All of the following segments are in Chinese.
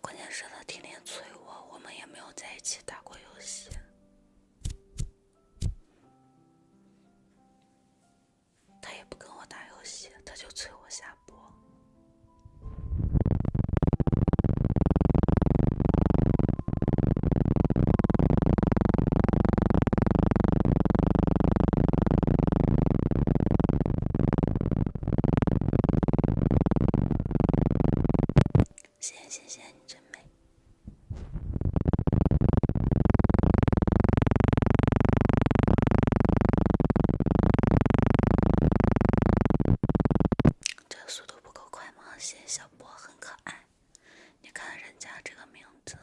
关键是他天天催我，我们也没有在一起打过游戏，他也不跟我打游戏，他就催我下播。谢谢，谢谢你真美。这速度不够快。谢谢小波很可爱，你看人家这个名字，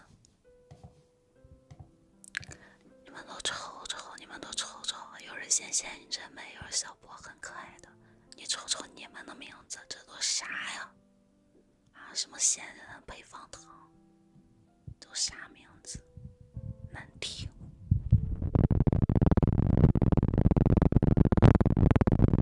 你们都瞅瞅，你们都瞅瞅，有人先谢你真美，有人小波很可爱的，你瞅瞅你们的名字，这都啥呀？啊，什么仙人配方糖，都啥名字，难听。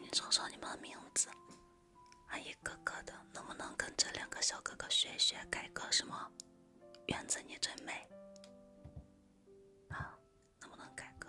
你说说你们名字，一个一的，能不能跟这两个小哥哥学学改个什么？园子你最美，啊。能不能改革？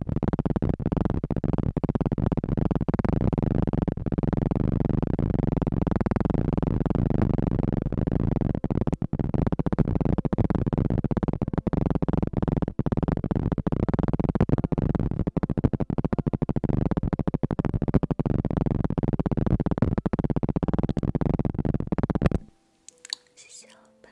谢谢老板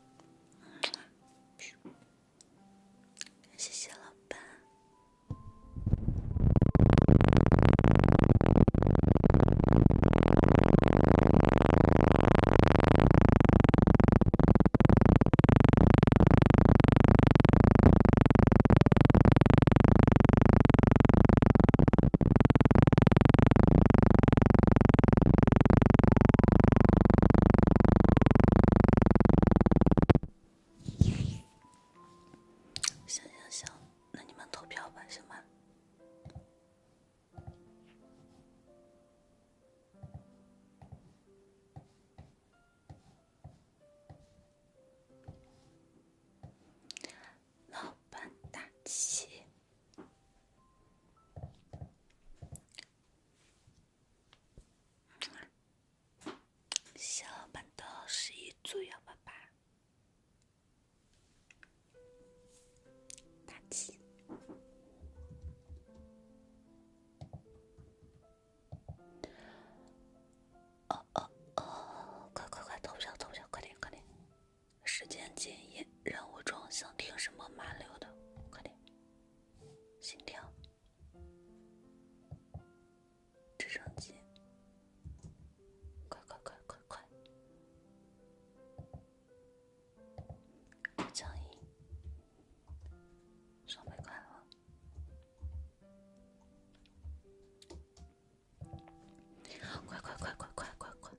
谢谢老板。行行行，那你们投票吧，行吧。老板大气。小班的十一组幺八八，大七。哦哦哦！快快快，投票投票，快点快点！时间紧，任务重，想听什么？麻溜的，快点！心跳，直升机，快快快快快！欢迎，双倍快乐！快快快快快快快！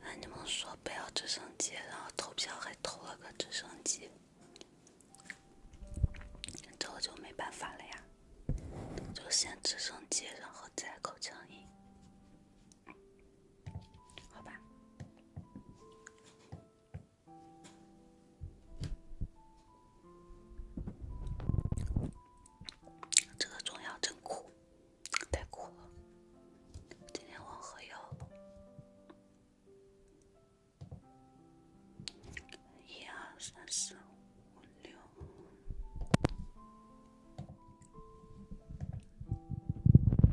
那你们说不要直升机，然后投票还投了个直升机，这就没办法了呀！就先直升机，然后再口腔音，好吧？这个中药真苦，太苦了。今天我喝药，一、二、三、四、五、六。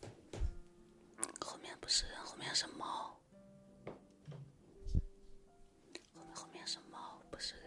对，后面不是人，后面是猫。后面是猫，不是人。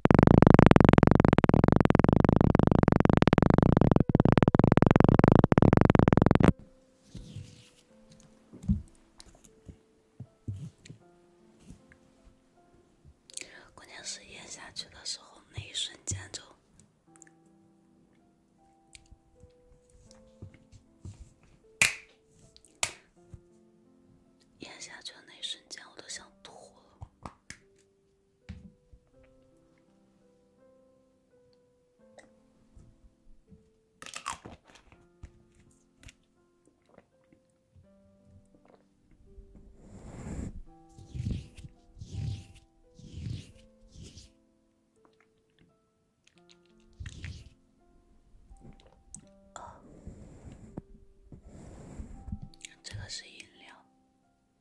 关键是咽下去的时候，那一瞬间就咽下去的那一瞬间，我都想吐了。哦，这个是饮料。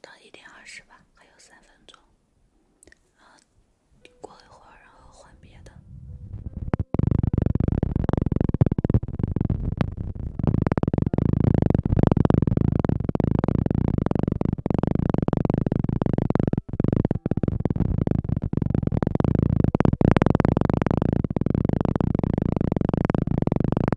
到一点二十吧，还有三分钟，过一会儿，然后换别的。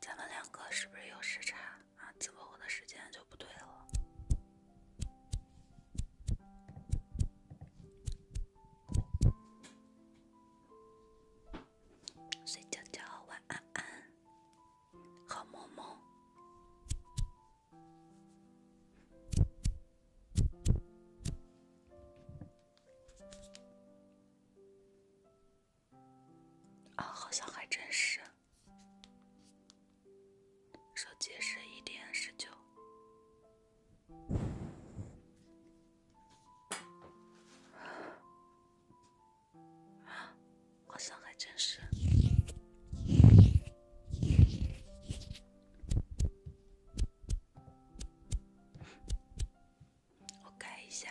咱们两个是不是有时差啊？怎么我的时间就不对了？睡觉觉，晚安安，好梦梦。啊，好像还真是。手机是一点十九，好像还真是。我改一下。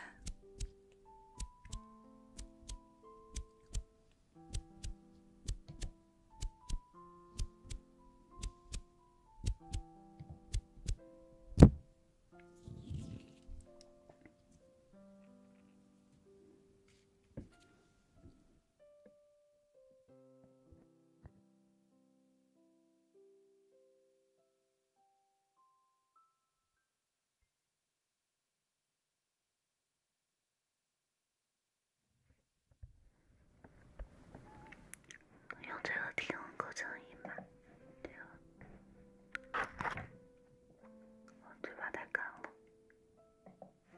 用这个听构成音吧。对了，我嘴巴太干了。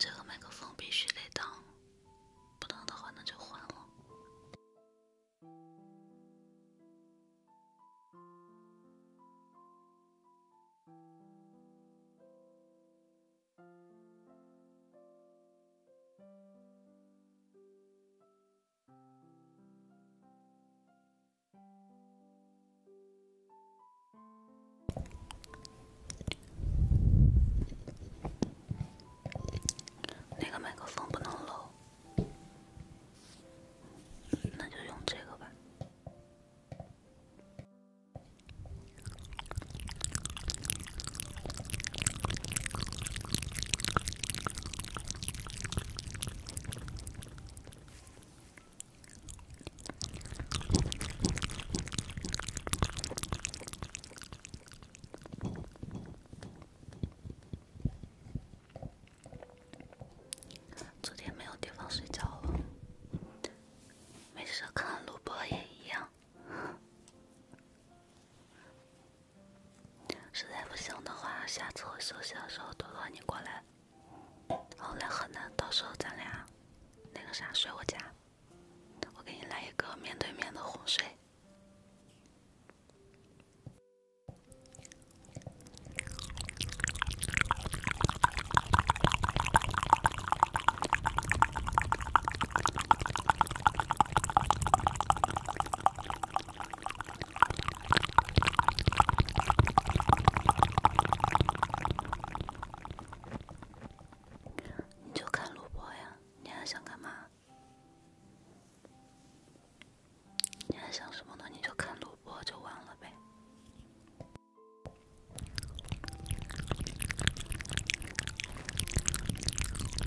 这个麦克风必须得当，不当的话那就换了。那个麦克风不能露，那就用这个吧。昨天没有地方睡觉了，没事看录播也一样。实在不行的话，下次我休息的时候多多你过来，然后来河南，到时候咱俩那个啥睡我家，我给你来一个面对面的哄睡。你就看录播呀，你还想干嘛？你还想什么呢？你就看录播就完了呗。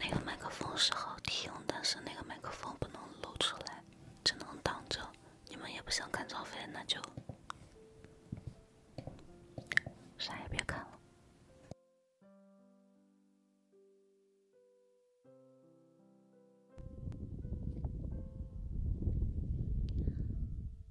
那个麦克风是好听，但是那个麦克风不能露出来，只能挡着。你们也不想看张飞，那就啥也别看了。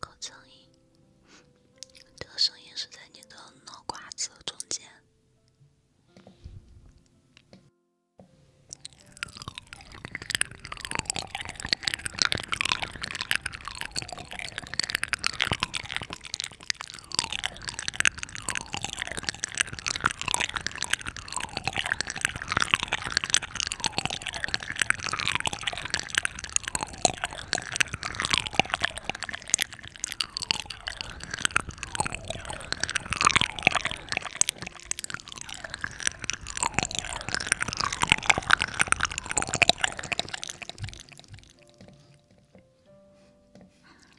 口声音，这个声音是在你的脑瓜子中间。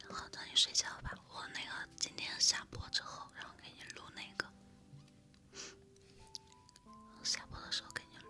好的，你睡觉吧。我那个今天下播之后，然后给你录那个，下播的时候给你录。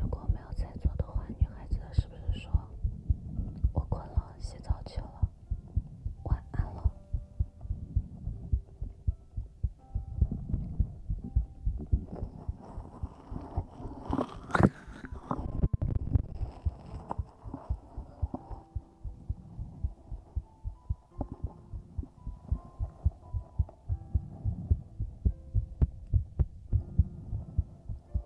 如果没有在做的话，女孩子是不是说，我困了，洗澡去了，晚安了。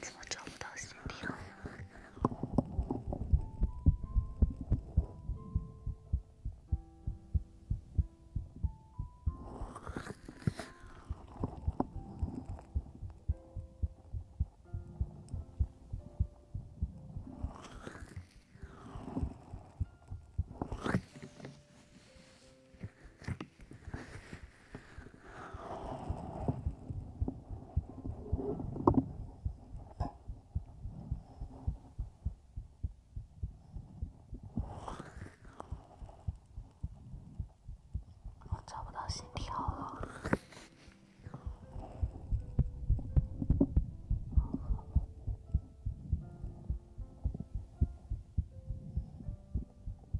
怎么找不到行李了？我找不到心跳了。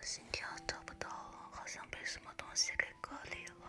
心跳找不到了，好像被什么东西给隔离了。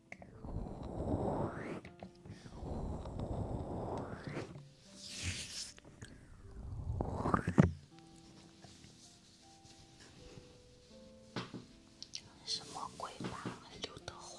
什么鬼吧，刘德华。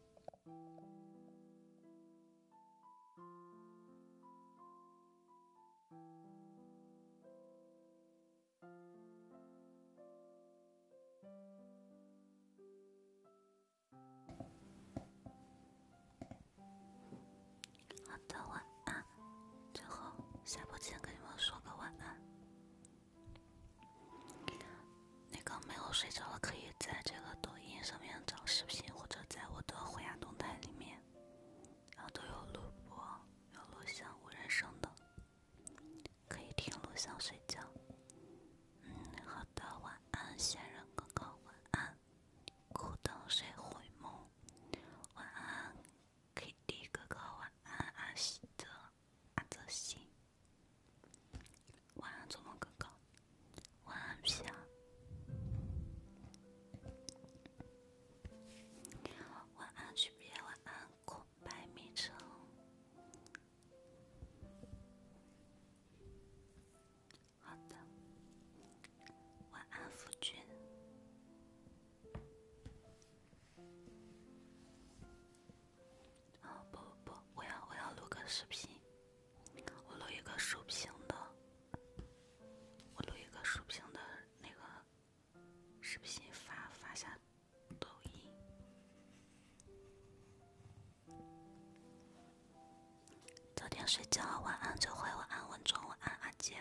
好的，晚安。最后下播前跟你们说个晚安。那个没有睡着的可以在这个抖音上面找视频，或者在我的虎牙动态里面，然后都有录播、有录像、无人声的，可以听录像睡觉。嗯，好的，晚安，仙人哥哥，晚安，孤灯谁回梦，晚安 k D 哥哥，晚安，阿西的，阿泽西。晚安，做梦哥哥。晚安，皮啊。晚安，区别。晚安，空白昵称。好的。晚安，夫君。哦不不不，我要我要录个视频，我录一个竖屏的，我录一个竖屏的那个视频发发下抖音。早点睡觉，晚安，周辉，晚安，文忠，晚安，阿杰。